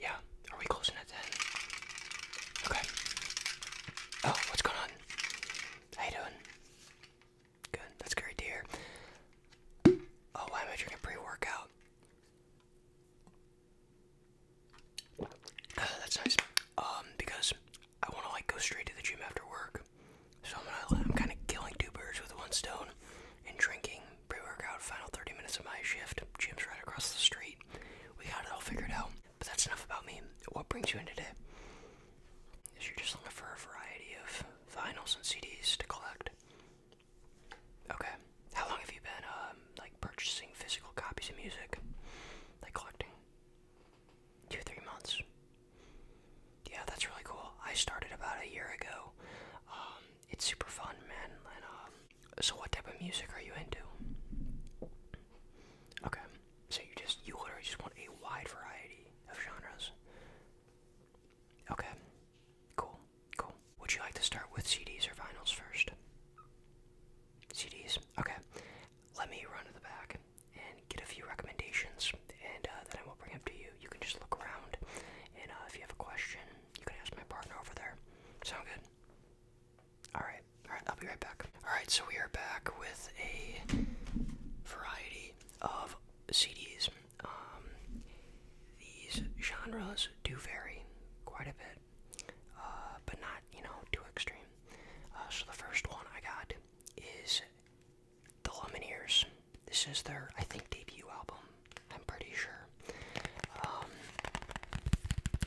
Yeah, are we closing at 10? Okay. Oh, what's going on? How you doing? Good, that's great to hear. Oh, why am I drinking pre-workout? Uh, that's nice. Um, because I want to like go straight to the gym after work, so I'm kind of killing two birds with one stone and drinking pre-workout, final 30 minutes of my shift. Gym's right across the street. We got it all figured out. But that's enough about me. What brings you in today? Is you just looking for a variety of vinyls and CDs to collect. Okay. How long have you been, um, like, purchasing physical copies of music? Like, collecting? Two, three months. Yeah, that's really cool. I started about a year ago. Um, it's super fun, man. Um, so what type of music are you into? Okay, so you just you literally just want a wide variety of genres. Okay, cool, cool. Would you like to start with CDs or vinyls first? CDs. Okay, let me run to the back and get a few recommendations, and uh, then I will bring them to you. You can just look around, and uh, if you have a question, you can ask my partner over there. Sound good? Alright, alright, I'll be right back. Alright, so we are back with a variety of CDs. Um, these genres do vary quite a bit, uh, but not, you know, too extreme. Uh, so the first one I got is The Lemon Lumineers. This is their, I think, debut album. I'm pretty sure. Um,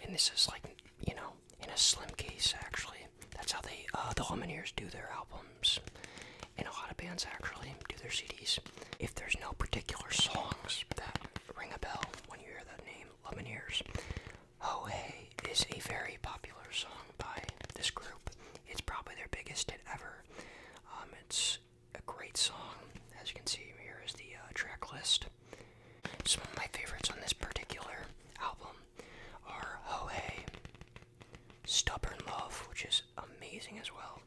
and this is like, you know, in a slim case actually. That's how they, uh, the Lumineers do their albums. And a lot of bands actually do their CDs. If there's no particular songs that ring a bell when you hear that name, Lumineers, Oh Hey is a very popular song by this group. It's probably their biggest hit ever. Um, it's a great song. As you can see, here is the uh, track list. Some of my favorites on this particular album are Ho Hey, Stubborn Love, which is amazing as well,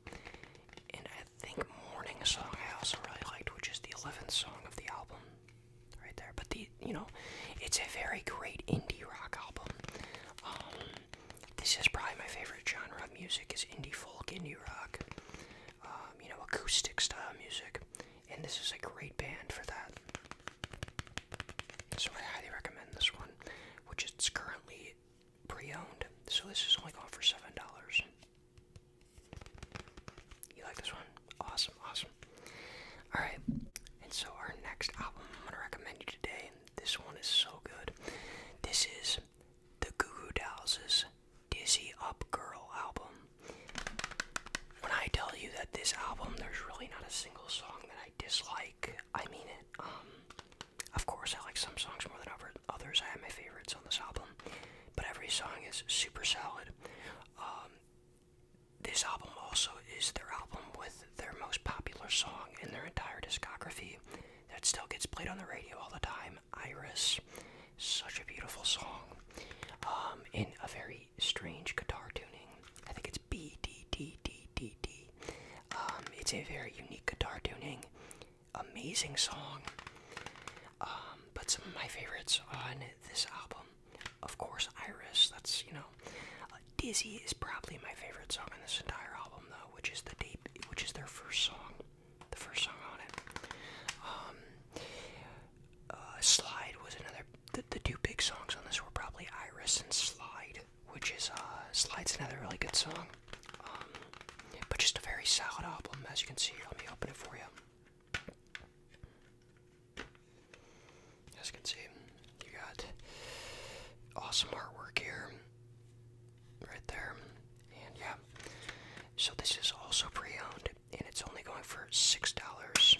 and I think Morning Song I also really liked, which is the 11th song of the album right there. But the, you know, it's a very great indie rock album. Um, this is probably my favorite genre of music is indie folk, indie rock. Um, you know, acoustic style music, and this is a great band for that. So I highly recommend this one, which is currently pre-owned. So this is only going for seven dollars. You like this one? Awesome, awesome. All right, and so our next album I'm gonna recommend you today. This one is so good. This is the Goo Goo Dolls' Dizzy Up Girl album. When I tell you that this album, there's really not a single song that I dislike. I mean it. Um, of course, I like some songs more than others. I have my favorites on this album, but every song is super solid. Um, this album also is their album with their most popular song in their entire discography that still gets played on the radio all the time. Iris. Such a beautiful song. Um, in a very strange guitar tuning. I think it's B D D D D D. Um, it's a very unique guitar tuning. Amazing song. Um, but some of my favorites on this album, of course, Iris. That's you know, uh, Dizzy is probably my favorite song on this entire album, though, which is the D, which is their first song the first song on it. Um, uh, Slide was another. The, two big songs on this were probably Iris and Slide, which is uh, Slide's another really good song. Um, but just a very solid album, as you can see. Let me open it for you. As you can see, you got awesome artwork here right there. And yeah, so this is also pre-owned, and it's only going for six dollars.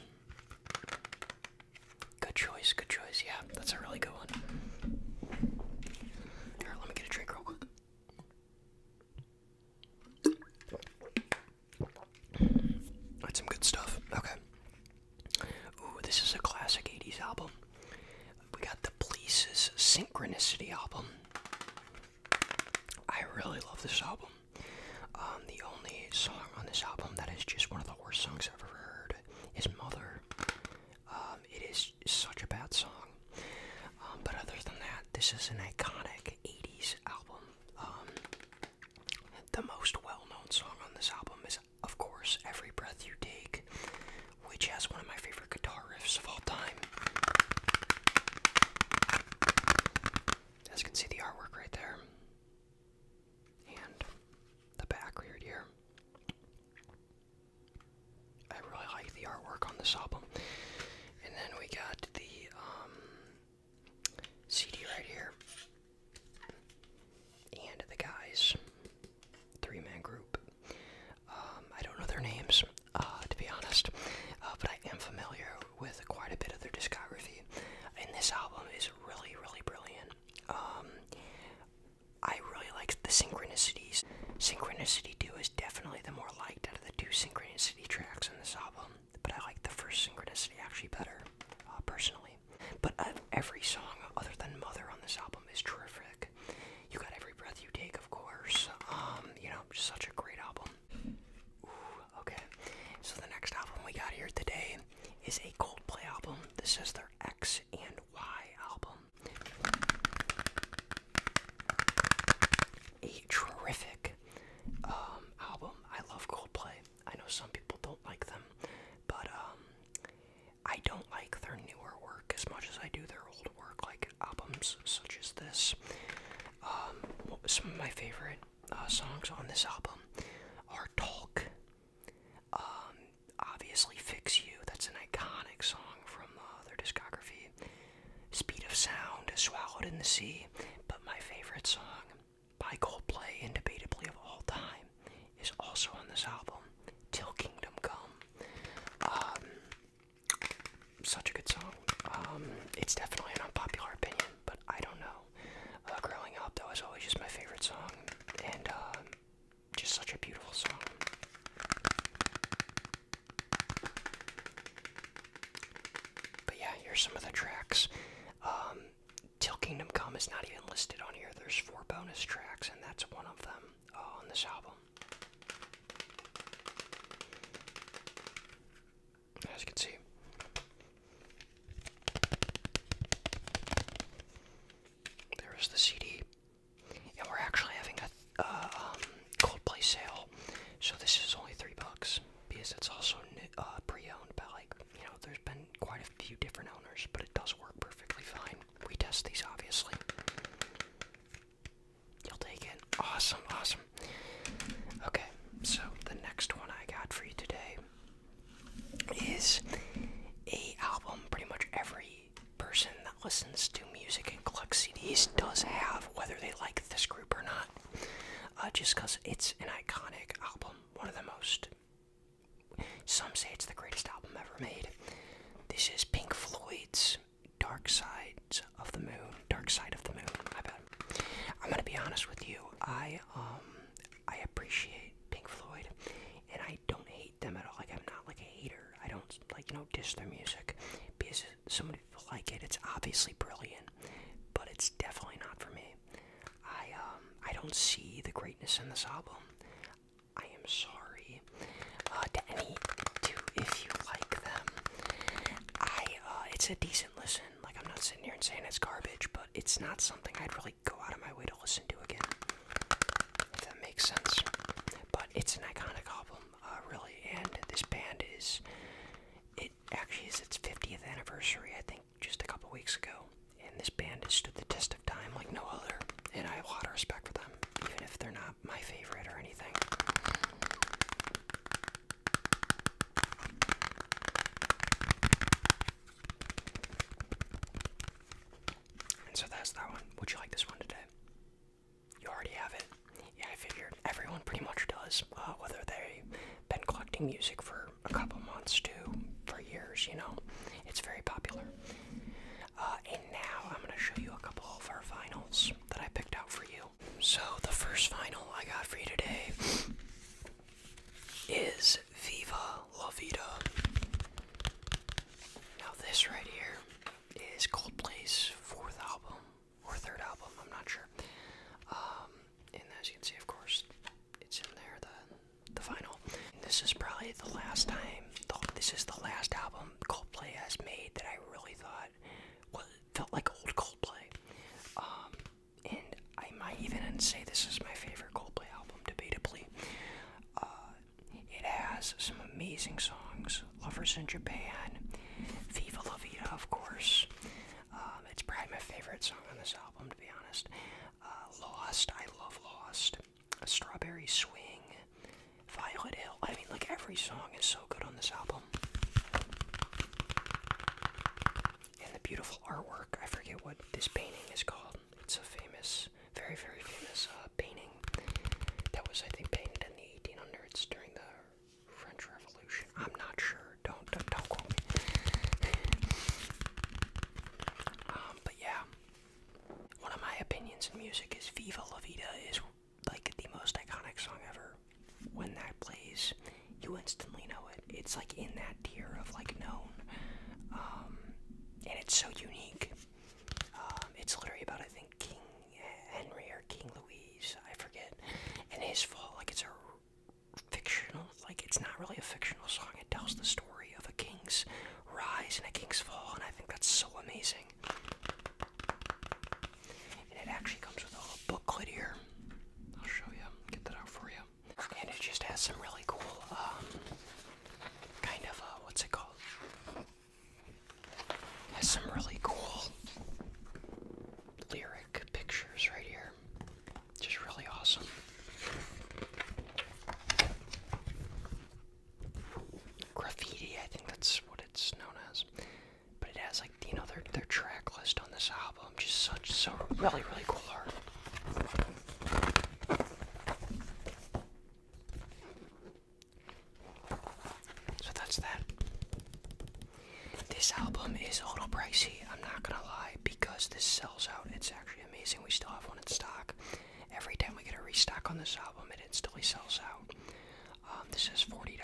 Good choice, good choice. Yeah, that's a really good one. Here, let me get a drink real quick. That's some good stuff. Okay. Ooh, this is a classic 80s album. We got the Police's Synchronicity album. I really love this album. Um, the only song on this album that is just one of the worst songs I've ever heard is Mother. Um, it is such a bad song. Um, but other than that, this is an iconic 80s album. the most well known song on this album is, of course, Every Breath You Take which has one of my favorite guitar riffs of all time. As you can see, the artwork right there, and the back here. I really like the artwork on this album. And then we got the um, CD right here, and the guys, three man group. Um, I don't know their names, uh, to be honest, uh, but I am familiar with quite a bit of their discography, and this album is really, really brilliant. Um, I really like the synchronicities. Synchronicity 2 is definitely the more liked out of the two synchronicity tracks on this album, but I like the first synchronicity actually better, uh, personally. But every song other than Mother on this album is terrific like you got every breath you take, of course. Um, you know, such a great album. okay. So the next album we got here today is a Coldplay album. This is their X and Y album. A terrific um, album. I love Coldplay. I know some people don't like them, but um, I don't like their newer work as much as I do their old work, like albums such as this. Um, some of my favorite uh, songs on this album are Talk, um, obviously Fix You, that's an iconic song from uh, their discography, Speed of Sound, Swallowed in the Sea, but my favorite song by Coldplay, indubitably of all time, is also on this album, Till Kingdom Come. Um, such a good song. Um, it's definitely an unpopular opinion, but I don't know. Uh, growing up, though is always just my favorite song, and um, just such a beautiful song. But yeah, here's some of the tracks. Um, Till Kingdom Come is not even listed on here. There's four bonus tracks that's one of them uh, on this album. As you can see. There is the CD, and we're actually having a uh, um, Coldplay sale, so this is only three bucks because it's also uh, pre-owned by like you know there's been quite a few different owners, but it does work perfectly fine. We test these, obviously. You'll take it. Awesome, awesome. Okay, so the next one I got for you today is a album pretty much every person that listens to music and collects CDs does have, whether they like this group or not. Uh, just because it's an iconic album, one of the most some say it's the greatest album ever made. This is Pink Floyd's Dark Side of the Moon. Dark Side of the Moon, I bet. I'm gonna be honest with you. I um I appreciate Pink Floyd and I don't hate them at all. Like I'm not like a hater. I don't like, you know, diss their music. Because some people like it. It's obviously brilliant, but it's definitely not for me. I um I don't see the greatness in this album. I am sorry uh, to any two if you like them. I uh, it's a decent listen. Like I'm not sitting here and saying it's garbage, but it's not something I'd really go out of my way to listen to again. If that makes sense. But it's an iconic album, uh, really, and this band is. It actually is its 50th anniversary, I think, just a couple weeks ago, and this band has stood the test of time like no other, and I have a lot of respect for them, even if they're not my favorite or anything. And so that's that one. Would you like this one today? You already have it. Yeah, I figured everyone pretty much does, uh, whether they've been collecting music for a couple months to for years, you know. It's very popular. Uh, and now I'm going to show you a couple of our finals that I picked out for you. So, the first final I got for you today is Viva La Vida. Now, this right here is Coldplay's fourth album or third album, I'm not sure. Um, and as you can see, of course, it's in there the the final. this is probably the last time. this is the last album Coldplay has made that I really thought felt like old Coldplay. Um, and I might even say this is my favorite Coldplay album, debatably. Uh, it has some amazing songs. Lovers in Japan, Viva La Vida, of course. Um, it's probably my favorite song on this album, to be honest. Uh, Lost, I love Lost. A Strawberry Swing, Violet Hill. I mean, like every song is so good on this album. And the beautiful artwork. I forget what this painting is called. It's a famous, very, very famous uh, painting that was, I think, painted in the 1800s during the French Revolution. I'm not sure. Don't don't, don't quote me. Um, but yeah, one of my opinions in music is Viva La Vida is like the most iconic song ever. When that plays, you instantly know it. It's like in that tier of like known. Um, and it's so unique. Um, it's literally about, I think, King Henry or King Louise, I forget, and his fall. Like, it's a fictional, like it's not really a fictional song. It tells the story of a king's rise and a king's fall, and I think that's so amazing. And it actually comes with a little booklet here. I'll show you, get that out for you. And it just has some really cool, um, kind of, uh, what's it called? Has some really cool lyric pictures right here. Just really awesome. Graffiti, I think that's what it's known as. But it has like you know their their track list on this album. Just such so really really cool art. So that's that. This album is a little pricey, I'm not gonna lie because this sells out. It's actually amazing. We still have one in stock. Every time we get a restock on this album, it instantly sells out. Um, this is $40,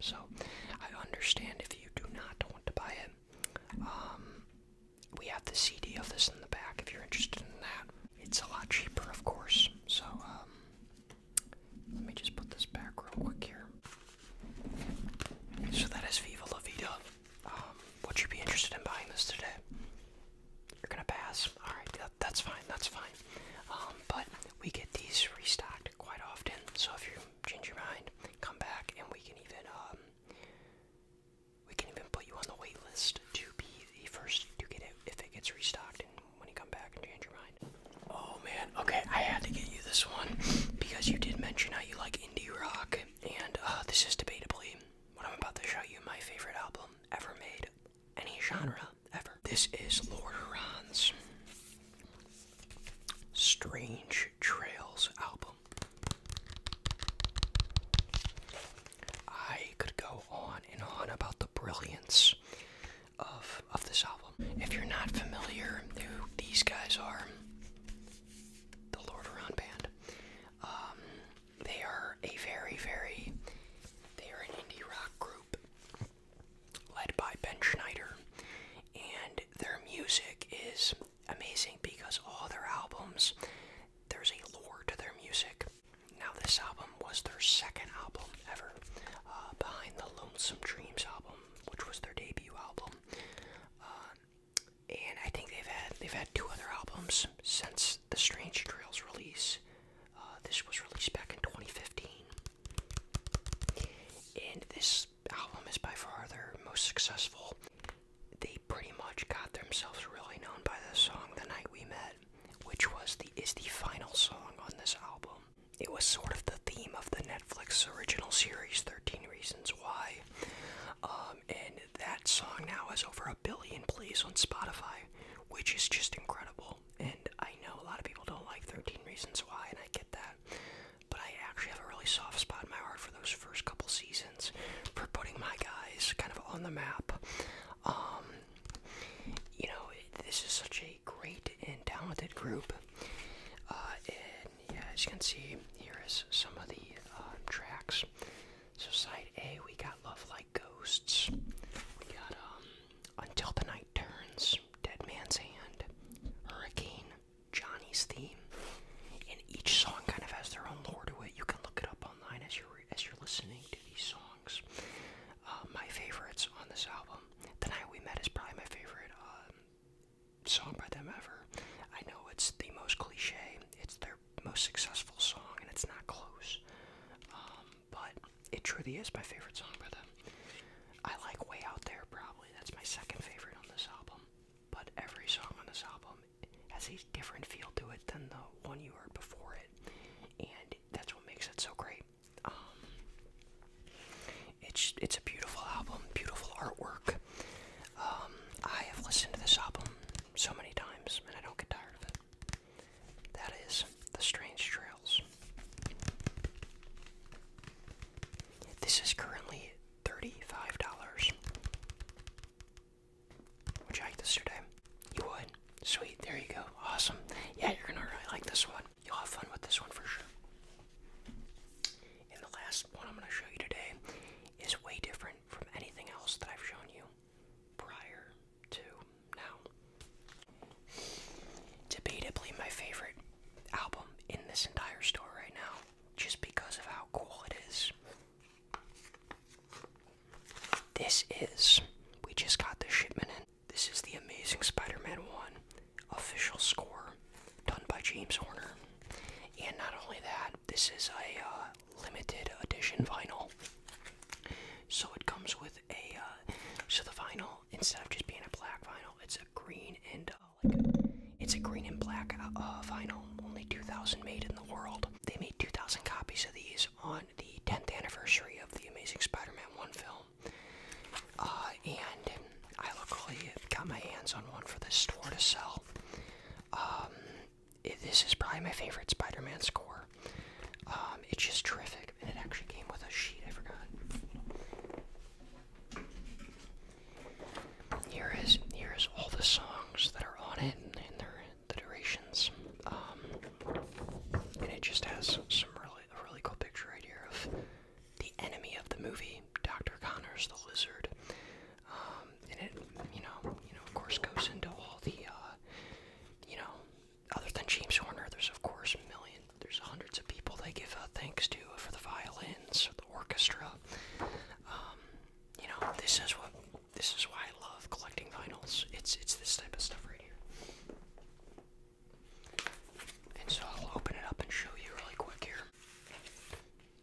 so I understand if you do not want to buy it. Um, we have the CD of this in the back if you're interested in that. It's a lot cheaper, of course. So, um, let me just put this back real quick here. So that is Viva La Vida. Um, would you be interested in buying this today? You're gonna pass. All right, that, that's fine. That's fine. Um, but we get these restocked quite often. So if you change your mind, come back, and we can even um, we can even put you on the wait list to be the first to get it if it gets restocked. And when you come back and change your mind. Oh man. Okay, I had to get you this one because you did mention how you like indie rock and uh, this is debatably what I'm about to show you my favorite album ever made, any genre ever. This is Lord Huron's Strange Trails album. I could go on and on about the brilliance of of this album. If you're not familiar who these guys are, the Lord Huron band. Um, they are a very, very, they are an indie rock group led by Ben Schneider, and their music is amazing because all their albums, there's a lore to their music. Now, this album was their second album ever, uh, behind the Lonesome Dreams album, which was their debut album. Uh, and I think they've had they've had two other albums since the Strange Trails release. Uh, this was released back in 2015, and this album is by far their most successful. They pretty much got themselves really known by the song "The Night We Met," which was the is the final song on this album. It was sort of the theme of the Netflix original series 13 Reasons Reasons Why. Um, and that song now has over a billion plays on Spotify, which is just incredible. And I know a lot of people don't like 13 Reasons Why, and I get that. But I actually have a really soft spot in my heart for those first couple seasons, for putting my guys kind of on the map. Um, you know, this is such a great and talented group. Uh, yeah, as you can see, here is some of the uh, tracks. So side A, we got Love Like Ghosts. We got um, Until the Night Turns, Dead Man's Hand, Hurricane, Johnny's Theme. And each song kind of has their own lore to it. You can look it up online as you're as you're listening to these songs. Uh, my favorites on this album, "The Night We Met" is probably my favorite. Um, song by them ever. I know it's the most cliche, it's their most successful song, and it's not close. Um, but it truly is my favorite song by them. I like Way Out There, probably. That's my second favorite on this album. But every song on this album has a different feel to it than the one you heard before it. And that's what makes it so great. Um, it's it's a beautiful album, beautiful artwork. Um, I have listened to this album so many times, and I don't get tired of it. That is The Strange Trails. This is currently $35. Would you like this today? You would? Sweet, there you go. Awesome. Yeah, you're gonna really like this one. You'll have fun with this one for sure. And the last one I'm going to show you today is way different from anything else that I've shown you prior to now. Debatably my favorite album in this entire store right now, just because of how cool it is. This is, we just got the shipment in. This is the Amazing Spider Man 1 official score done by James Horner. And not only that, this is a uh, limited edition vinyl. So it comes with a. Uh, so the vinyl, instead of just being a black vinyl, it's a green and uh, it's a green and black uh, uh, vinyl. Only 2,000 made in the world. They made 2,000 copies of these on the 10th anniversary of the Amazing Spider-Man one film. Uh, and I luckily got my hands on one for this store to sell. Um, this is probably my favorite Spider Man score. Um, it's just terrific, and it actually came with a sheet, I forgot. Here is, here is all the songs that are on it and, their, durations. Um, and it just has some really, really cool picture right here of the enemy of the movie, Dr. Connors the Lizard. Um, and it, you know, you know, of course, goes into all the, uh, you know, other than James Horner, there's of course a million, there's hundreds of people they give uh, thanks to uh, for the violins, the orchestra. Um, you know, this is what, this is why I love collecting vinyls. It's it's this type of stuff right here. And so I'll open it up and show you really quick here.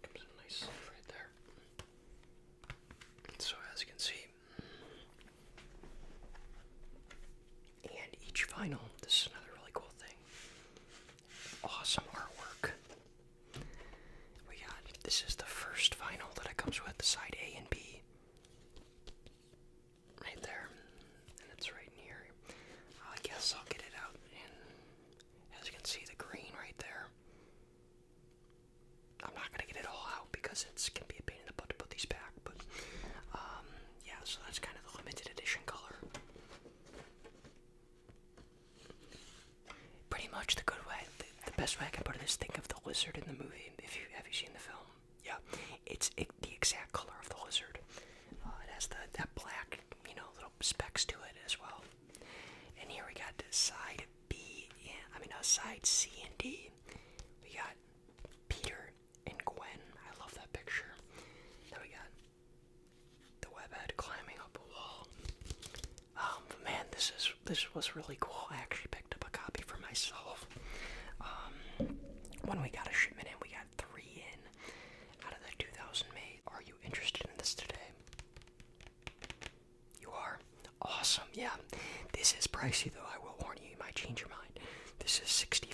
Comes a nice sleeve right there. so as you can see, and each vinyl, this is another really cool thing. Awesome artwork. We got this is the first vinyl that it comes with, the side A and B right there, and it's right here. I guess I'll get it out, and as you can see, the green right there. I'm not gonna get it all out because it's gonna be a pain in the butt to put these back, but um, yeah, so that's kind of the limited edition color. Pretty much the good way, the, the best way I can put it is think of the lizard in the movie. If you have you seen the film, yeah, it's it, the exact color of the lizard. Uh, it has the, that black, you know, little specks to it as well. And here we got side B, and, I mean, uh, side C and D. We got Peter and Gwen. I love that picture. There we got the webhead climbing up a wall. Um, man, this is this was really cool. I actually picked up a copy for myself. Um, when we got a shipment in, we got three in out of the 2,000 made. Are you interested in this today? You are? Awesome, yeah. This is pricey though, I will warn you, you might change your mind. This is $65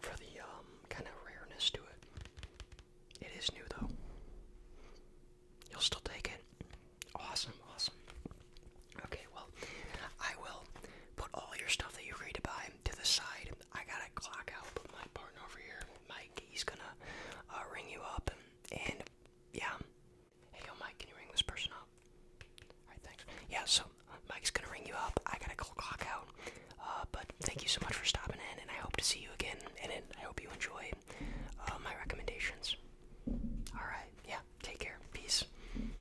for the um, kind of rareness to it. It is new though. You'll still take it. Awesome, awesome. Okay, well, I will put all your stuff that you agreed to buy to the side. I got a clock out, but my partner over here, Mike, he's gonna uh, ring you up, and, yeah. Hey, yo, Mike, can you ring this person up? Alright, thanks. Yeah, so Mike's gonna ring you up. I got a go clock out. Uh, but thank you so much for stopping in, and I hope to see you again. And I hope you enjoy uh, my recommendations. Alright, yeah, take care. Peace.